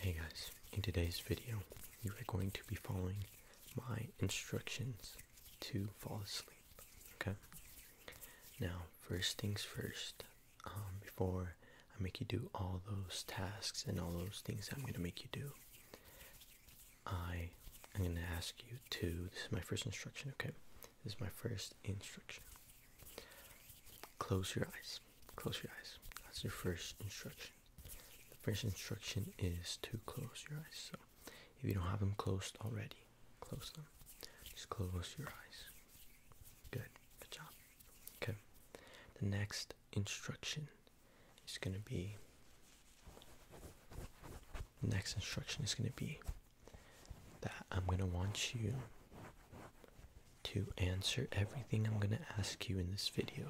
Hey guys, in today's video, you are going to be following my instructions to fall asleep, okay? Now, first things first, um, before I make you do all those tasks and all those things I'm going to make you do, I am going to ask you to, this is my first instruction, okay? This is my first instruction. Close your eyes. Close your eyes. That's your first instruction. The first instruction is to close your eyes. So if you don't have them closed already, close them. Just close your eyes. Good. Good job. Okay. The next instruction is going to be. The next instruction is going to be that I'm going to want you to answer everything I'm going to ask you in this video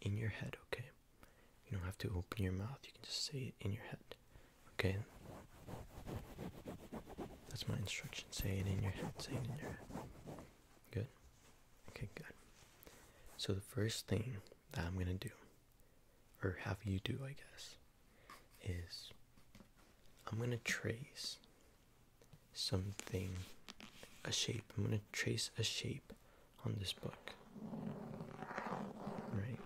in your head, okay? You don't have to open your mouth, you can just say it in your head, okay? That's my instruction. Say it in your head, say it in your head. Good? Okay, good. So, the first thing that I'm going to do, or have you do, I guess, is I'm going to trace something, a shape. I'm going to trace a shape on this book. Right?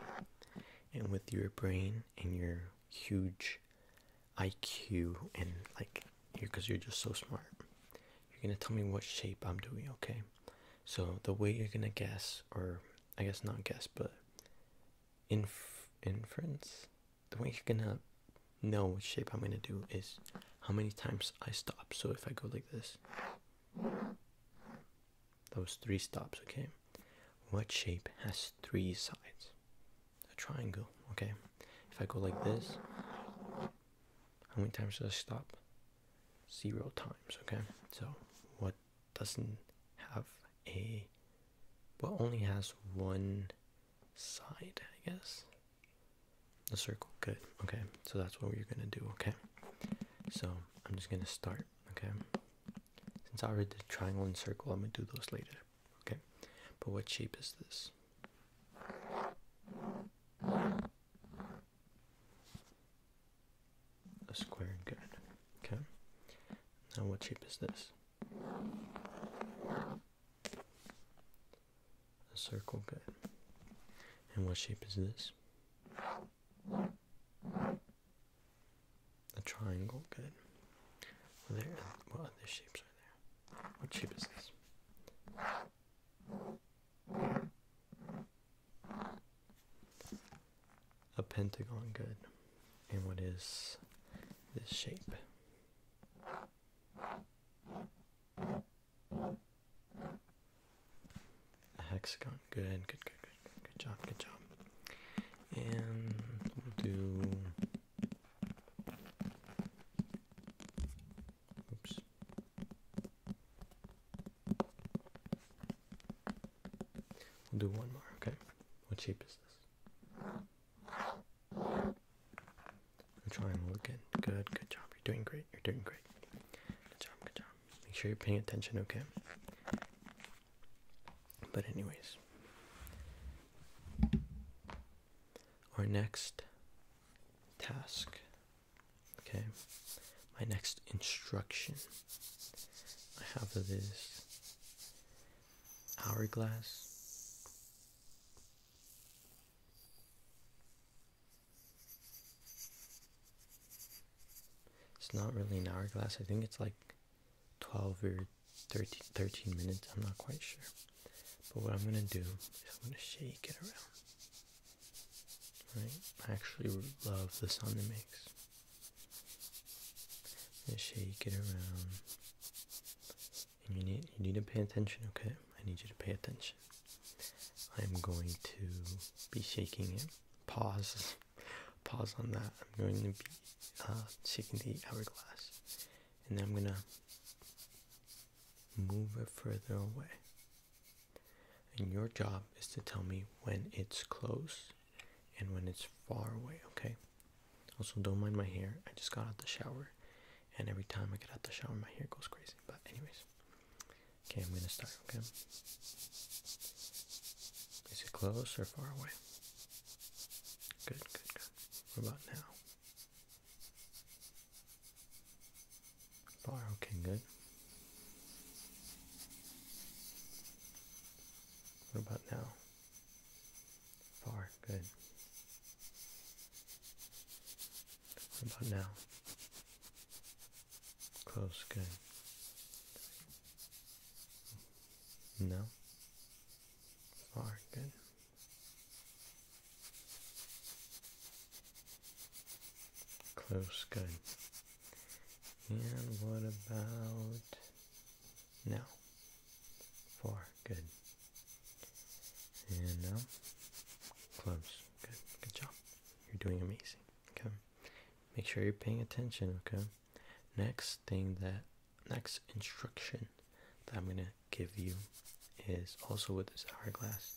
And with your brain and your huge IQ and like you because you're just so smart. You're gonna tell me what shape I'm doing, okay? So the way you're gonna guess, or I guess not guess, but inference, the way you're gonna know which shape I'm gonna do is how many times I stop. So if I go like this, those three stops, okay? What shape has three sides? A triangle, okay? If I go like this, how many times does I stop? Zero times, okay? So what doesn't have a, what only has one side, I guess. The circle, good. Okay, so that's what we're gonna do, okay? So I'm just gonna start, okay? Since I already did triangle and circle, I'm gonna do those later, okay? But what shape is this? A square, good, okay? Now what shape is this? A circle, good. And what shape is this? A triangle, good. what other shapes are there? What shape is this? A pentagon, good. And what is this shape? A hexagon. Good, good, good, good, good job, good job. And we'll do. Oops. We'll do one more. Okay. What shape is this? Good job, looking good. Good job. You're doing great. You're doing great. Good job. Good job. Make sure you're paying attention, okay? But anyways, our next task, okay? My next instruction I have is hourglass. It's not really an hourglass. I think it's like 12 or 13, minutes. I'm not quite sure. But what I'm going to do is I'm going to shake it around. I actually love the sound it makes. I'm going to shake it around you need you need to pay attention. Okay, I need you to pay attention. I'm going to be shaking it. Pause, pause on that. I'm going to be uh, shaking the hourglass, and then I'm gonna move it further away. And your job is to tell me when it's close and when it's far away. Okay, also, don't mind my hair. I just got out the shower, and every time I get out the shower, my hair goes crazy. But anyways, okay, I'm gonna start. Okay, is it close or far away? Good, good, good. What about now? Far. Okay, good. What about now? Far, good. about now? Close, good. No? Far, good. Close, good. And what about now, four, good. And now, uh, clubs, good, good job. You're doing amazing, okay? Make sure you're paying attention, okay? Next thing that, next instruction that I'm gonna give you is also with this hourglass.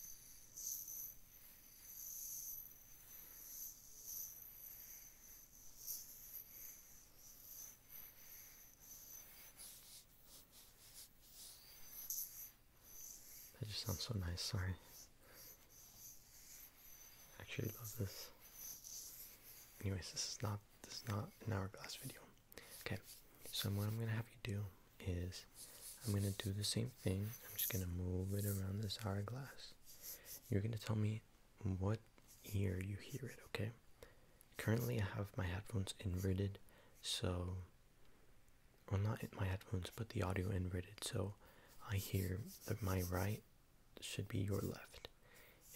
That just sounds so nice, sorry. I actually love this. Anyways, this is not this is not an hourglass video. Okay, so what I'm gonna have you do is I'm gonna do the same thing. I'm just gonna move it around this hourglass. You're gonna tell me what ear you hear it, okay? Currently, I have my headphones inverted, so. Well, not my headphones, but the audio inverted, so I hear that my right should be your left,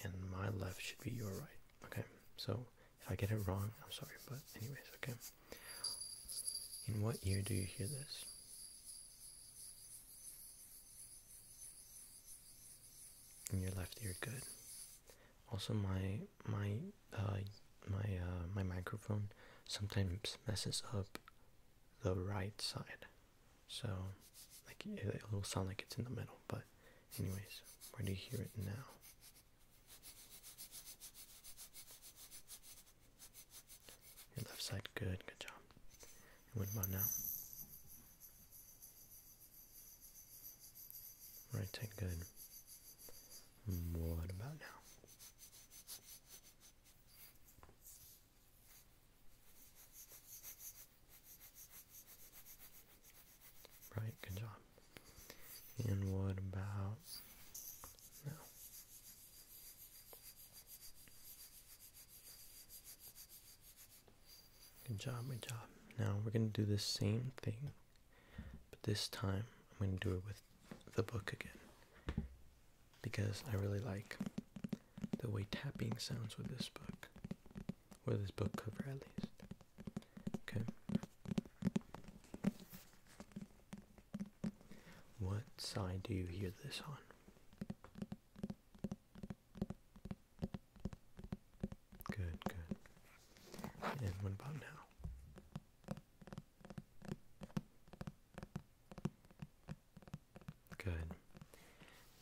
and my left should be your right, okay? So, if I get it wrong, I'm sorry, but anyways, okay? In what ear do you hear this? in your left ear good also my my uh, my uh, my microphone sometimes messes up the right side so like it, it'll sound like it's in the middle but anyways where do you hear it now your left side good good job what about now? Right, good. What about now? Right, good job. And what about now? Good job, good job. Now we're going to do the same thing, but this time I'm going to do it with the book again because I really like the way tapping sounds with this book, with this book cover at least. Okay. What side do you hear this on? Good, good. And what about now? Good.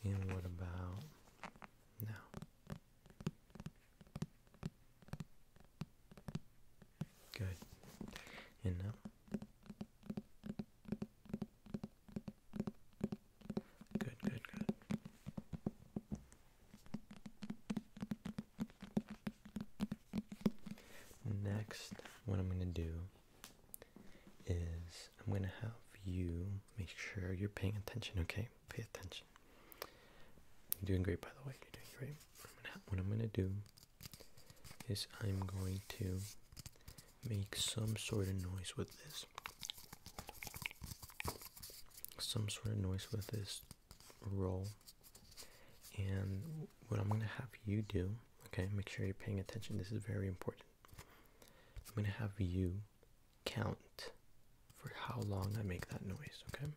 And what about now? Good. And now? Good, good, good. Next, what I'm going to do is I'm going to have you make sure you're paying attention, okay? Pay attention. You're doing great, by the way. You're doing great. What I'm going to do is I'm going to make some sort of noise with this. Some sort of noise with this roll. And what I'm going to have you do, okay, make sure you're paying attention. This is very important. I'm going to have you count for how long I make that noise, okay?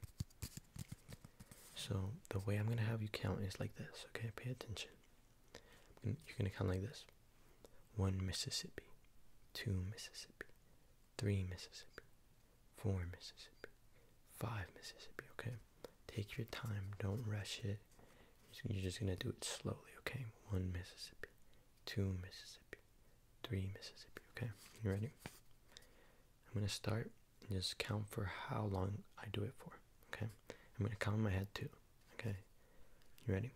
So the way I'm going to have you count is like this, okay? Pay attention. You're going to count like this. One Mississippi, two Mississippi, three Mississippi, four Mississippi, five Mississippi, okay? Take your time. Don't rush it. You're just going to do it slowly, okay? One Mississippi, two Mississippi, three Mississippi, okay? You ready? I'm going to start and just count for how long I do it for, okay? I'm going to count in my head too. Okay, you ready?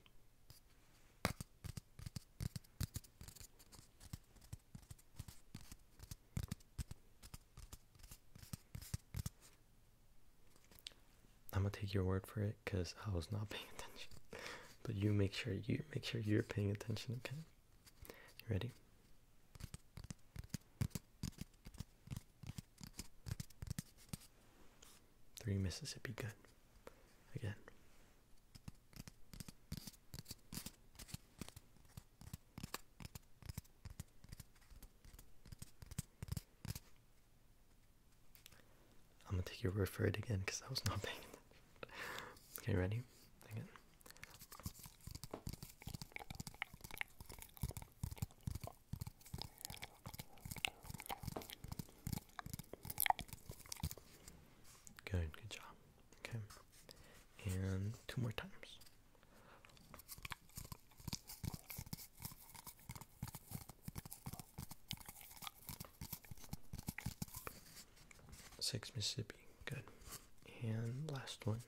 I'm gonna take your word for it because I was not paying attention. but you make sure you make sure you're paying attention, okay? You ready? Three Mississippi, good. Again. I'm gonna take your word for it again because that was nothing. Okay, ready? Again. Good, good job. Okay. And two more times. Six Mississippi, good. And last one.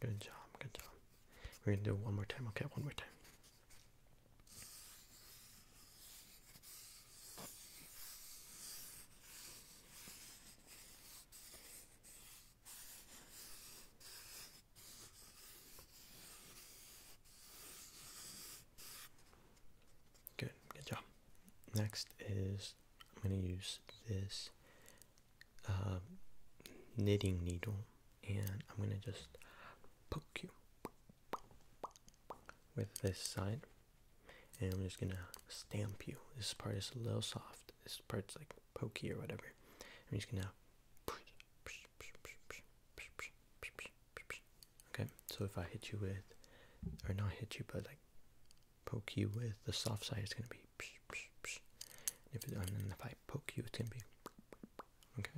Good job, good job. We're gonna do it one more time, okay? One more time. Good, good job. Next is I'm going to use this uh, knitting needle and I'm going to just poke you with this side and I'm just going to stamp you. This part is a little soft. This part's like pokey or whatever. I'm just going to Okay, so if I hit you with, or not hit you, but like poke you with the soft side, it's gonna be. If and then if I poke you, it's gonna be. Okay,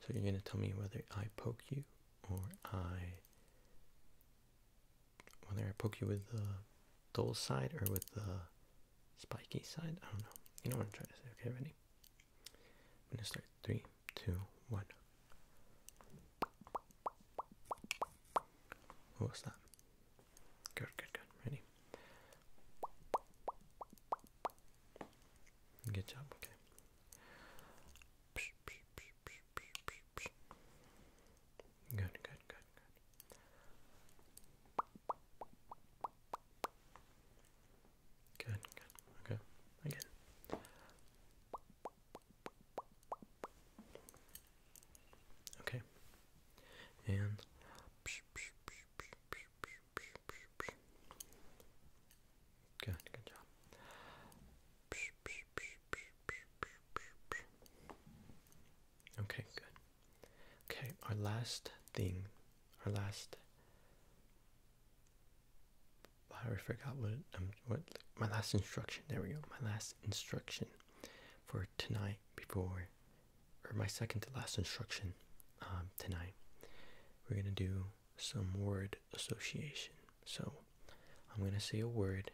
so you're gonna tell me whether I poke you or I. Whether I poke you with the dull side or with the spiky side. I don't know. You know what I'm trying to say. Okay, ready? I'm gonna start. Three, two, one. Oh, what was Good, good, good. Ready? Good job. Okay. Good, good, good, good. Good, okay, again. Okay, and good, good job. Okay, good. Okay, our last thing, our last. I already what um, what my last instruction. There we go. My last instruction for tonight before, or my second to last instruction um, tonight. We're gonna do some word association. So I'm gonna say a word,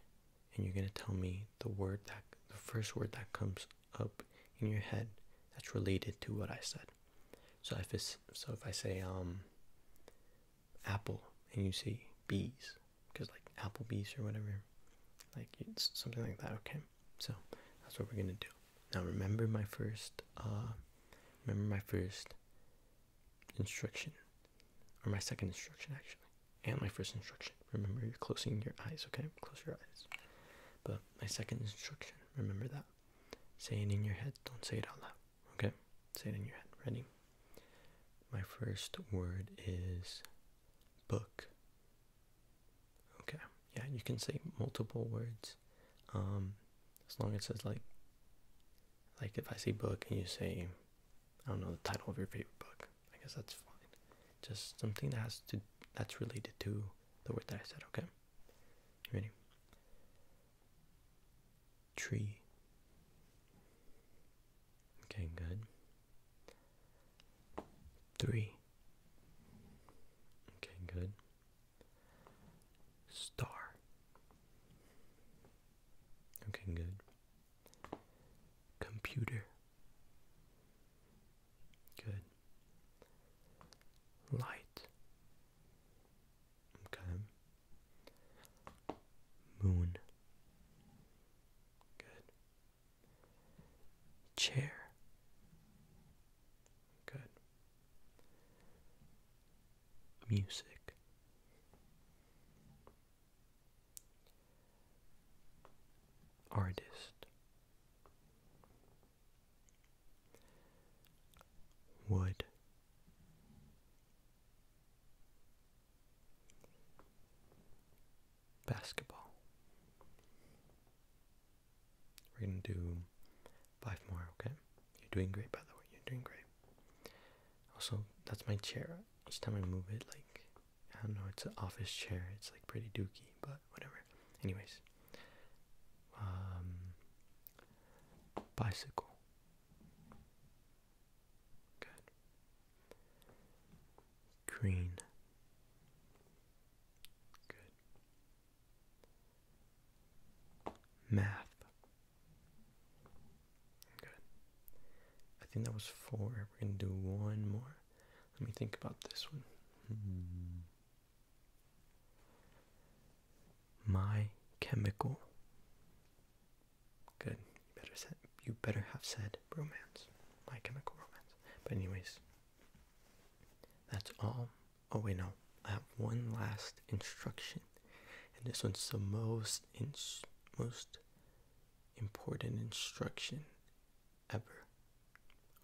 and you're gonna tell me the word that the first word that comes up in your head that's related to what I said. So if it's, so if I say um apple and you say bees because like Applebee's or whatever, like it's something like that. Okay, so that's what we're gonna do. Now remember my first uh remember my first instruction or my second instruction actually and my first instruction remember you're closing your eyes okay close your eyes but my second instruction. Remember that. saying in your head. Don't say it out loud. Okay? Say it in your head. Ready? My first word is book. Okay. Yeah, you can say multiple words. Um, as long as it's like like if I say book and you say I don't know the title of your favorite book. I guess that's fine. Just something that has to that's related to the word that I said, okay? ready? Tree. Okay, good. Three. Okay, good. Star. Okay, good. Computer. Good. Light. Okay. Moon. Good. Chair. Good. Music artist would basketball. We're going to do five more, okay? You're doing great, by the way. You're doing great. Also, that's my chair. Each time I move it, like, I don't know, it's an office chair. It's like pretty dookie, but whatever. Anyways, um, bicycle. Good. Green. Good. Math. Good. I think that was four. We're gonna do one more. Let me think about this one. Hmm. My chemical. Good. You better said. You better have said romance. My chemical romance. But anyways, that's all. Oh wait, no. I have one last instruction, and this one's the most most important instruction ever.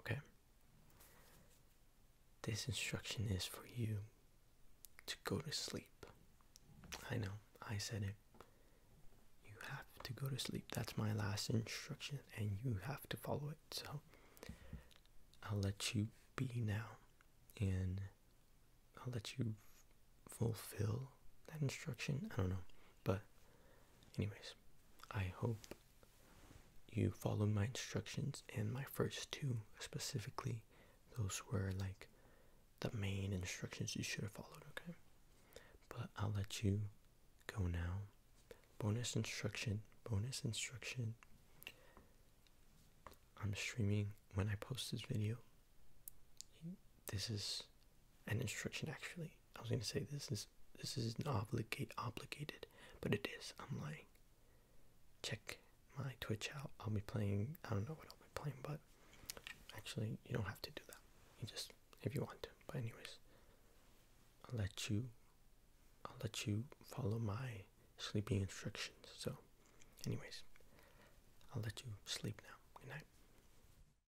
Okay? This instruction is for you to go to sleep. I know, I said it. You have to go to sleep. That's my last instruction, and you have to follow it. So I'll let you be now, and I'll let you fulfill that instruction. I don't know, but Anyways, I hope you followed my instructions and my first two specifically. Those were like the main instructions you should have followed, okay? But I'll let you go now. Bonus instruction, bonus instruction. I'm streaming when I post this video. This is an instruction actually. I was gonna say this is this is obligate obligated, but it is. I'm lying. Check my Twitch out. I'll be playing I don't know what I'll be playing, but actually you don't have to do that. You just if you want to. But anyways, I'll let you I'll let you follow my sleeping instructions. So anyways, I'll let you sleep now. Good night.